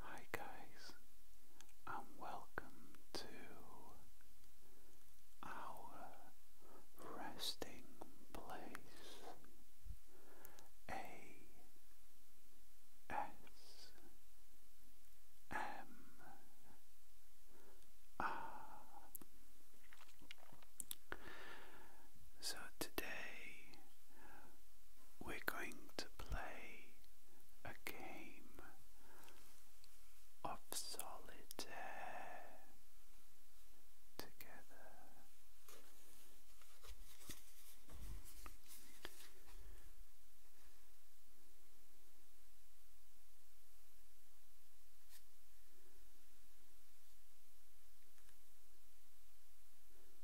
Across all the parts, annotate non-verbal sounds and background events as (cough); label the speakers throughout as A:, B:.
A: Hi guys, and welcome to our resting place. A S M R. So today we're going to play a game of solitaire together.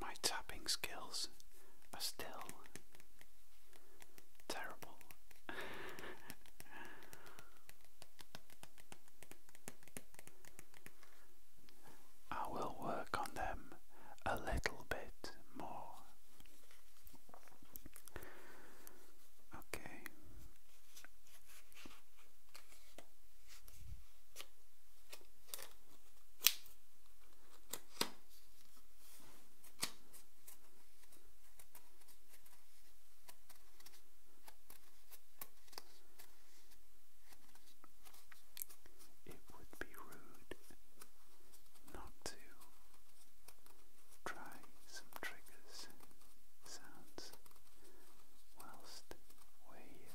A: My tapping skills are still terrible. I will work on them a little bit more. Okay. It would be rude not to try some triggers sounds whilst we're here.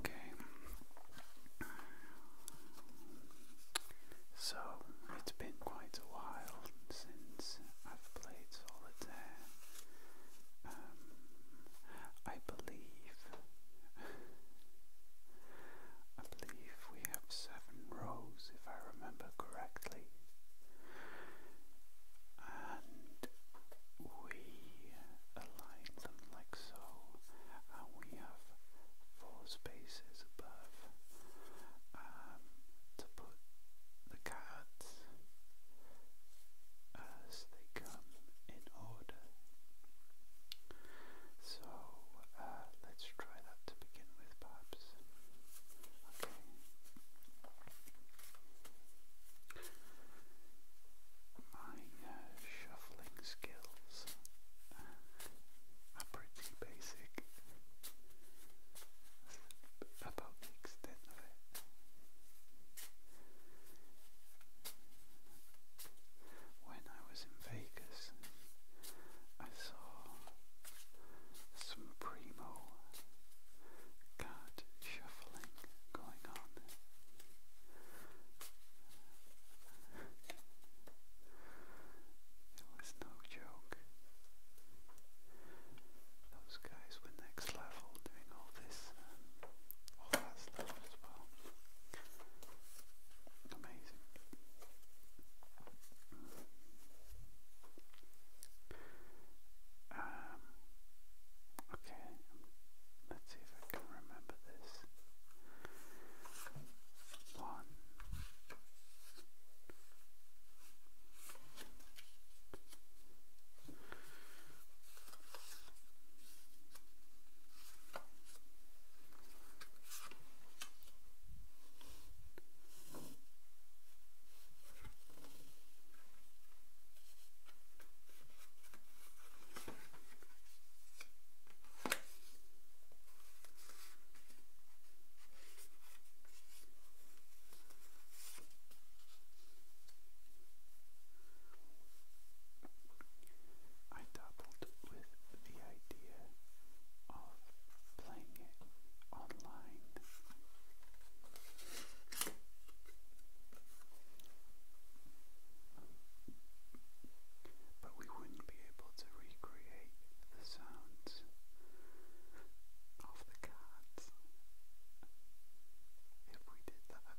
A: Okay. So it's been quite a while since I've played solitaire. Um, I believe I believe we have seven rows if I remember correctly and we align them like so, and we have four spaces above um, to put the cards as they come in order. So uh, let's try that to begin with, perhaps. Okay my uh, shuffling skills are pretty basic. about the extent of it. When I was in Vegas, I saw some primo card shuffling going on. It was no joke. Those guys were next level doing all this um, all that stuff as well. Amazing. Um, Okay, let's see if I can remember this. One. I dabbled with the idea of playing it online. But we wouldn't be able to recreate the sounds of the cards if we did that.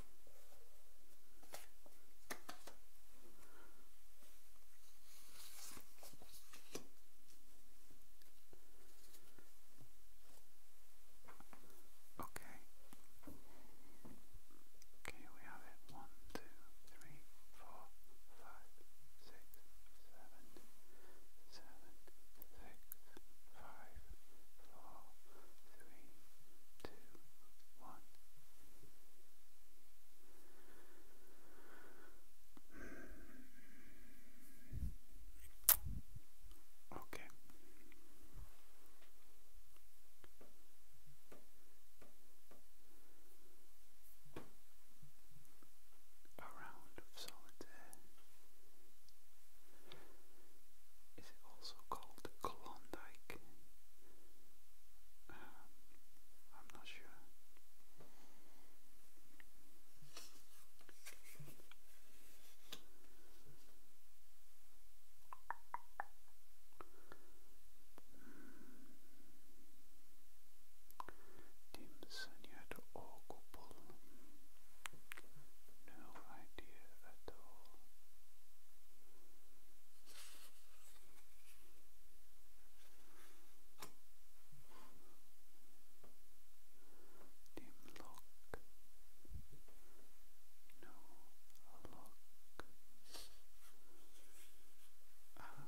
A: Okay. Okay, we have it. One, two, three, four, five, six, seven, seven, six, five, four, three, two, one. Okay. A round of solid is also called Klondike. Um, I'm not sure. Hmm. Dim Sanyad or Gopal? No idea at all. Dimlock, no lock, ah.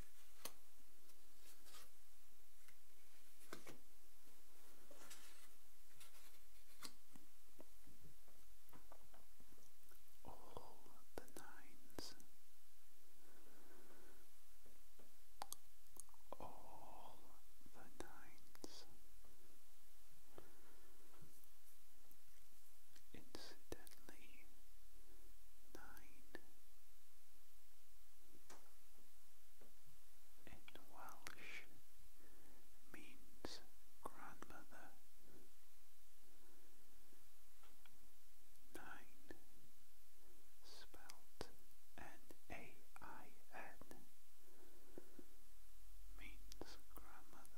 A: All the nines, all the nines. Incidentally, nine in Welsh means grandmother. Nine spelt N-A-I-N means grandmother.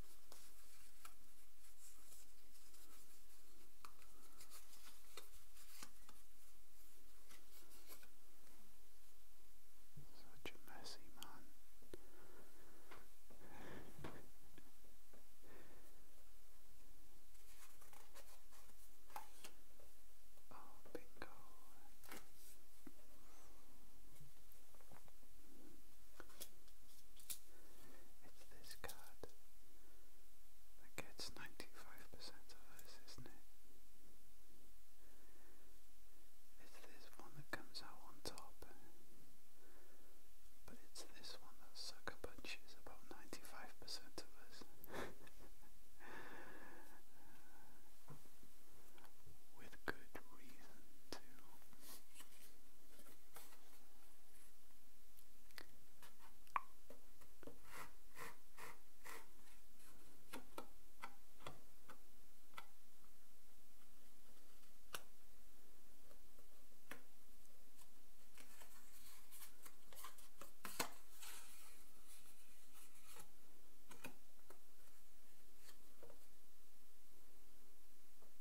A: Such a messy man. oh, bingo. It's this card that gets 95% of us, isn't it? It's this one that comes out on top, but it's this one that sucker punches about 95% of us. (laughs) with good reason too.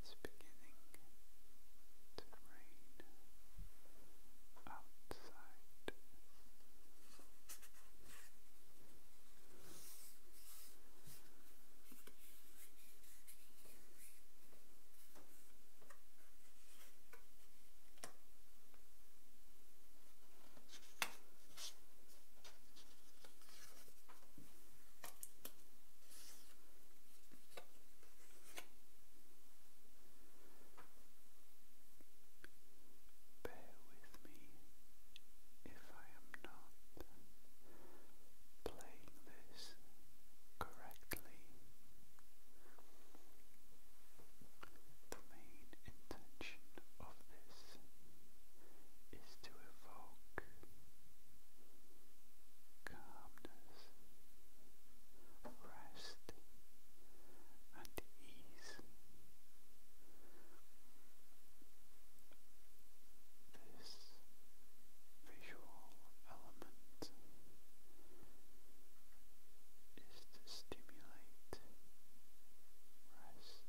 A: It's beginning to rain outside. Bear with me if I am not playing this correctly. The main intention of this is to evoke calmness, rest, and ease. This visual element is to stimulate rest,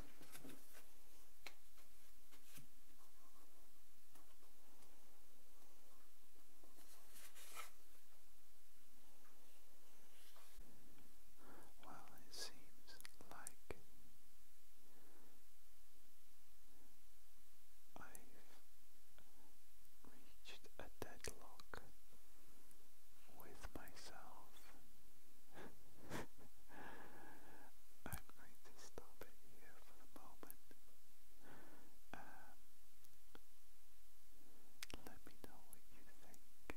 A: Well, it seems like I've reached a deadlock with myself. (laughs) going stop it here for the moment. Um, let me know what you think.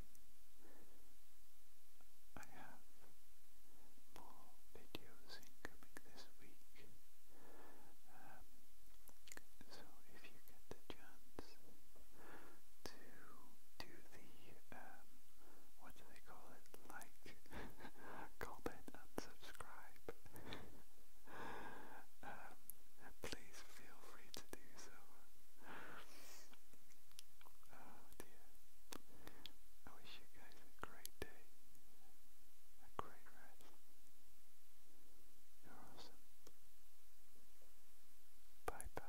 A: I have more videos incoming this week. Um, so if you get the chance to do the um, they call it, like, (laughs) comment, (laughs) um, and subscribe. please feel free to do so. Oh dear. I wish you guys a great day, a great rest. You're awesome. Bye bye.